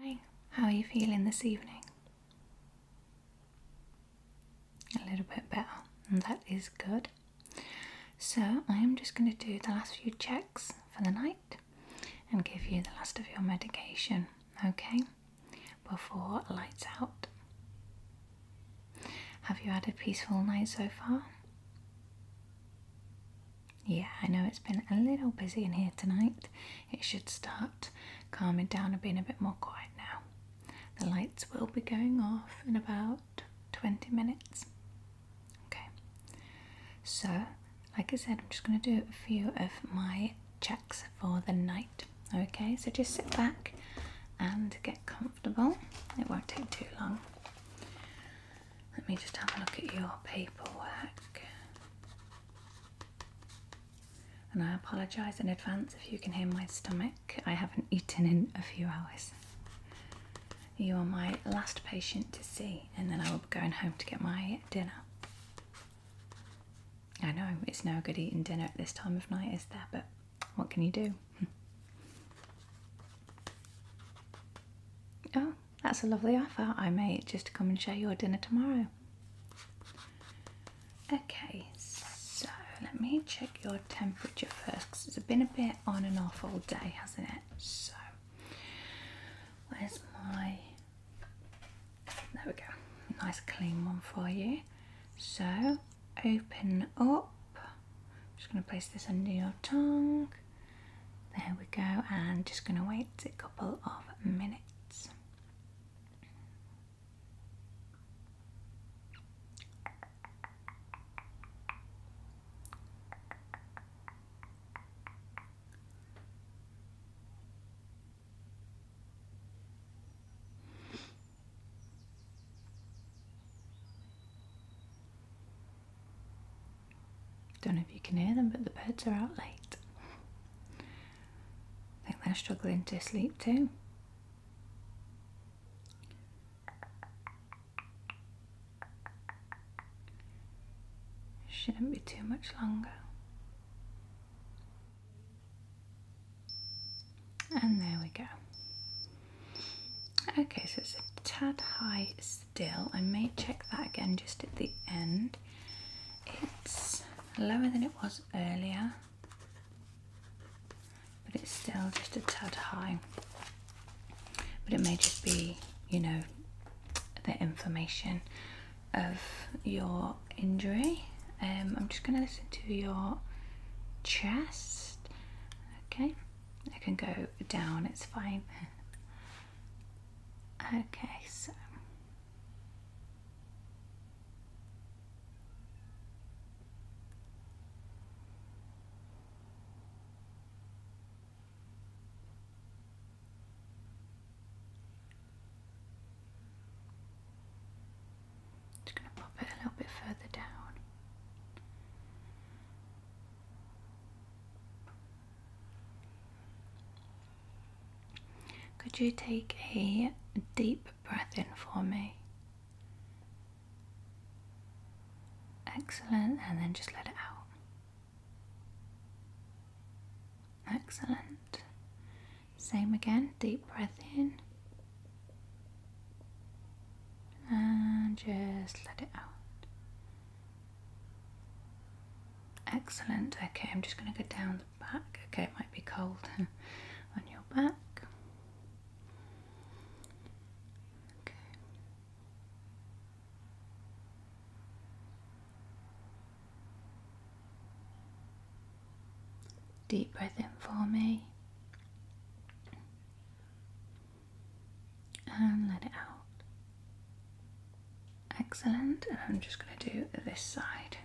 Hi, how are you feeling this evening? A little bit better, and that is good. So, I am just going to do the last few checks for the night and give you the last of your medication, okay? Before lights out. Have you had a peaceful night so far? Yeah, I know it's been a little busy in here tonight. It should start calming down and being a bit more quiet now. The lights will be going off in about 20 minutes. Okay, so like I said, I'm just going to do a few of my checks for the night. Okay, so just sit back and get comfortable. It won't take too long. Let me just have a look at your paperwork. And I apologise in advance if you can hear my stomach. I haven't eaten in a few hours. You are my last patient to see, and then I will be going home to get my dinner. I know it's no good eating dinner at this time of night, is there? But what can you do? oh, that's a lovely offer. I made just to come and share your dinner tomorrow. Okay, so let me check your temperature first because it's been a bit on and off all day, hasn't it? So, where's my. There we go. Nice clean one for you. So, open up. I'm just going to place this under your tongue. There we go, and just going to wait a couple of minutes. Don't know if you can hear them, but the birds are out late. I think they're struggling to sleep too. Shouldn't be too much longer. And there we go. Okay, so it's a tad high still. I may check that again just at the end. It's lower than it was earlier, but it's still just a tad high. But it may just be, you know, the inflammation of your injury. Um, I'm just going to listen to your chest. Okay, it can go down, it's fine okay, so just going to pop it a little bit further down. Could you take a deep breath in for me? Excellent, and then just let it out. Excellent. Same again, deep breath in and just let it out. Excellent. Okay, I'm just going to go down the back. Okay, it might be cold on your back. Okay. Deep breath in for me and let it out. Excellent. And I'm just going to do this side.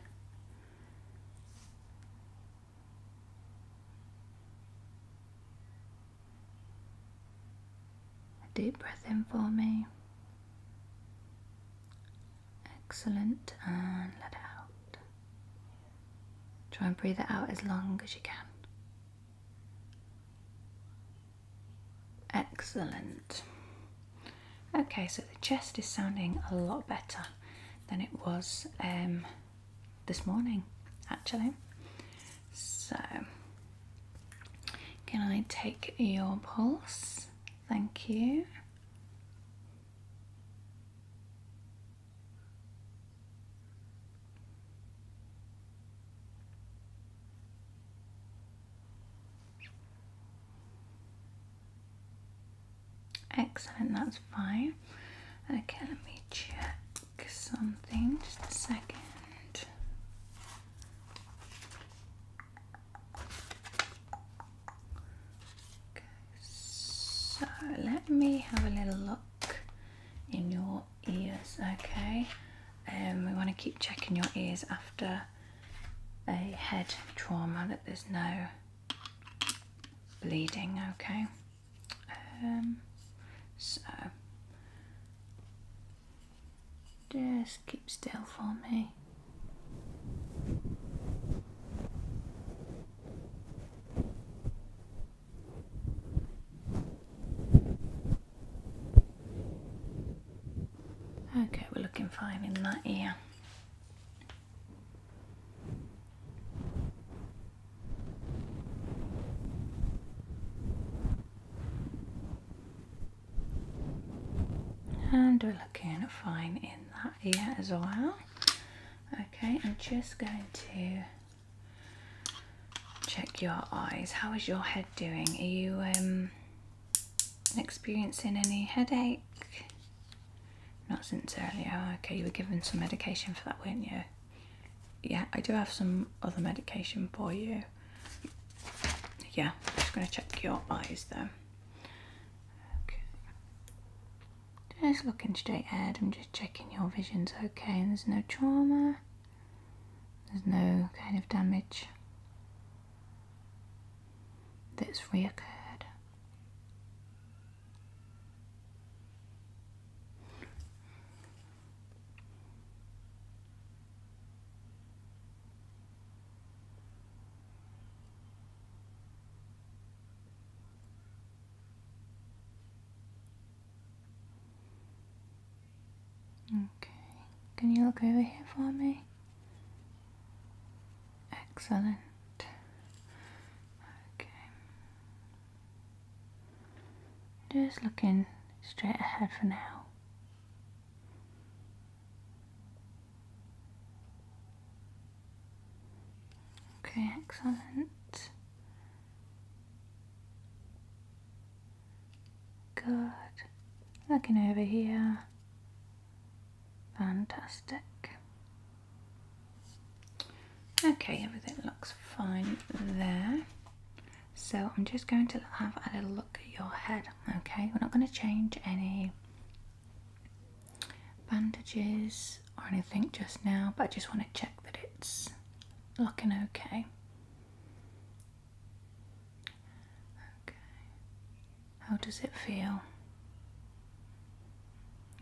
A deep breath in for me. Excellent. And let it out. Try and breathe it out as long as you can. Excellent. Okay, so the chest is sounding a lot better than it was um, this morning, actually. So, can I take your pulse? Thank you. Excellent, that's fine. Okay, let me check something, just a second. So let me have a little look in your ears, okay? And um, we want to keep checking your ears after a head trauma that there's no bleeding, okay? Um, so just keep still for me. Okay, we're looking fine in that ear. And we're looking fine in that ear as well. Okay, I'm just going to check your eyes. How is your head doing? Are you um, experiencing any headache? Not since earlier. Okay, you were given some medication for that, weren't you? Yeah, I do have some other medication for you. Yeah, I'm just going to check your eyes though. Okay. Just looking straight ahead, I'm just checking your vision's okay and there's no trauma, there's no kind of damage that's reoccurred. Okay, can you look over here for me? Excellent. Okay. Just looking straight ahead for now. Okay, excellent. Good. Looking over here. Fantastic. Okay, everything looks fine there. So I'm just going to have a little look at your head, okay? We're not going to change any bandages or anything just now, but I just want to check that it's looking okay. Okay. How does it feel?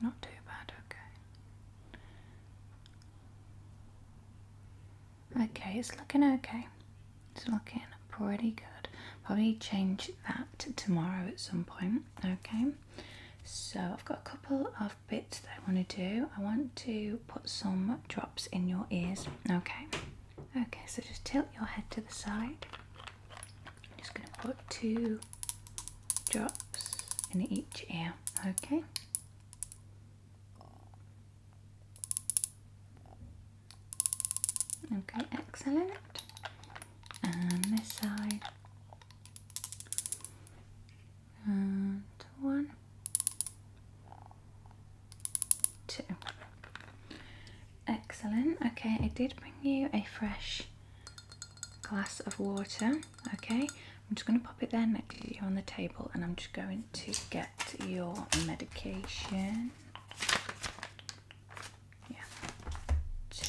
Not too bad, okay. Okay, it's looking okay. It's looking pretty good. Probably change that tomorrow at some point. Okay, so I've got a couple of bits that I want to do. I want to put some drops in your ears. Okay, okay, so just tilt your head to the side. I'm just going to put two drops in each ear. Okay. Okay, excellent. And this side. And one, two. Excellent. Okay, I did bring you a fresh glass of water. Okay, I'm just going to pop it there next to you on the table and I'm just going to get your medication yeah, two.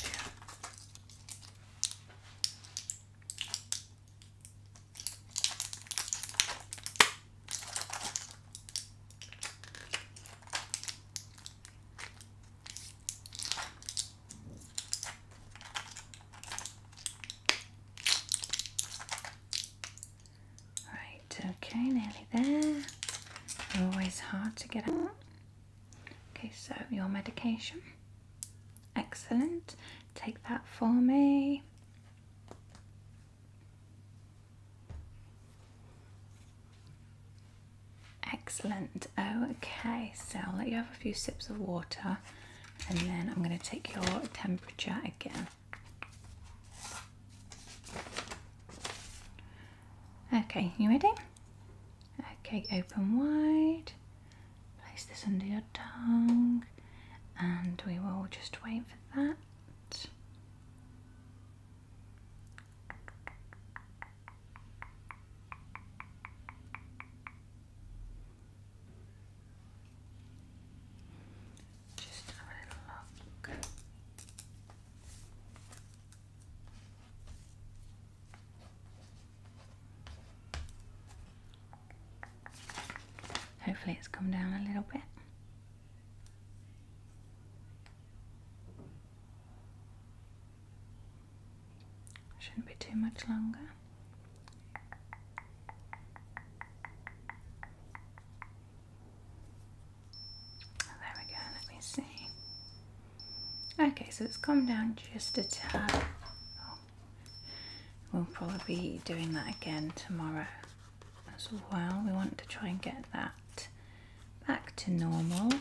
Right, okay, nearly there. Always hard to get out. Okay, so your medication. Excellent. Take that for me. Excellent. Oh. Okay, so I'll let you have a few sips of water and then I'm going to take your temperature again. Okay, you ready? Okay, open wide. Place this under your tongue and we will just wait for that. Just have a little Hopefully, it's come down a little bit. Shouldn't be too much longer. There we go, let me see. Okay, so it's come down just a tad. Oh. We'll probably be doing that again tomorrow as well. We want to try and get that back to normal.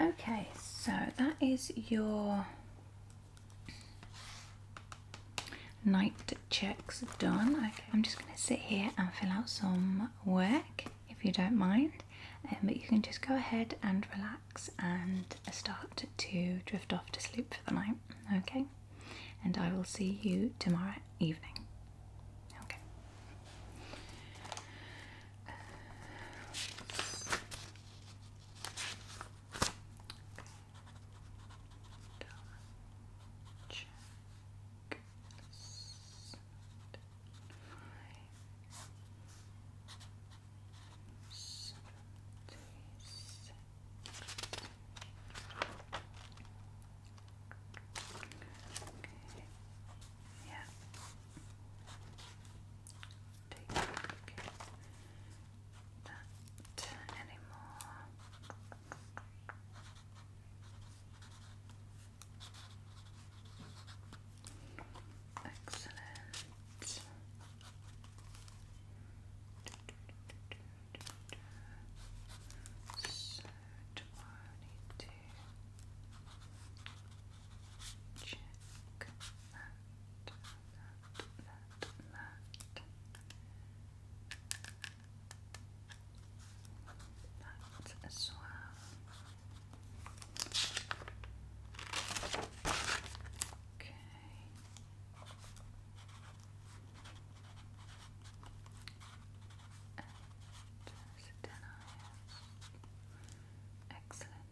Okay, so that is your Night checks done. I'm just going to sit here and fill out some work if you don't mind. Um, but you can just go ahead and relax and start to drift off to sleep for the night. Okay. And I will see you tomorrow evening. Okay. Double check. Seven, five, seventy six. Okay. Yeah. Take a look that anymore. Excellent. So tomorrow I need to check that that, that, that. That as well. Okay. And there's a ten Excellent.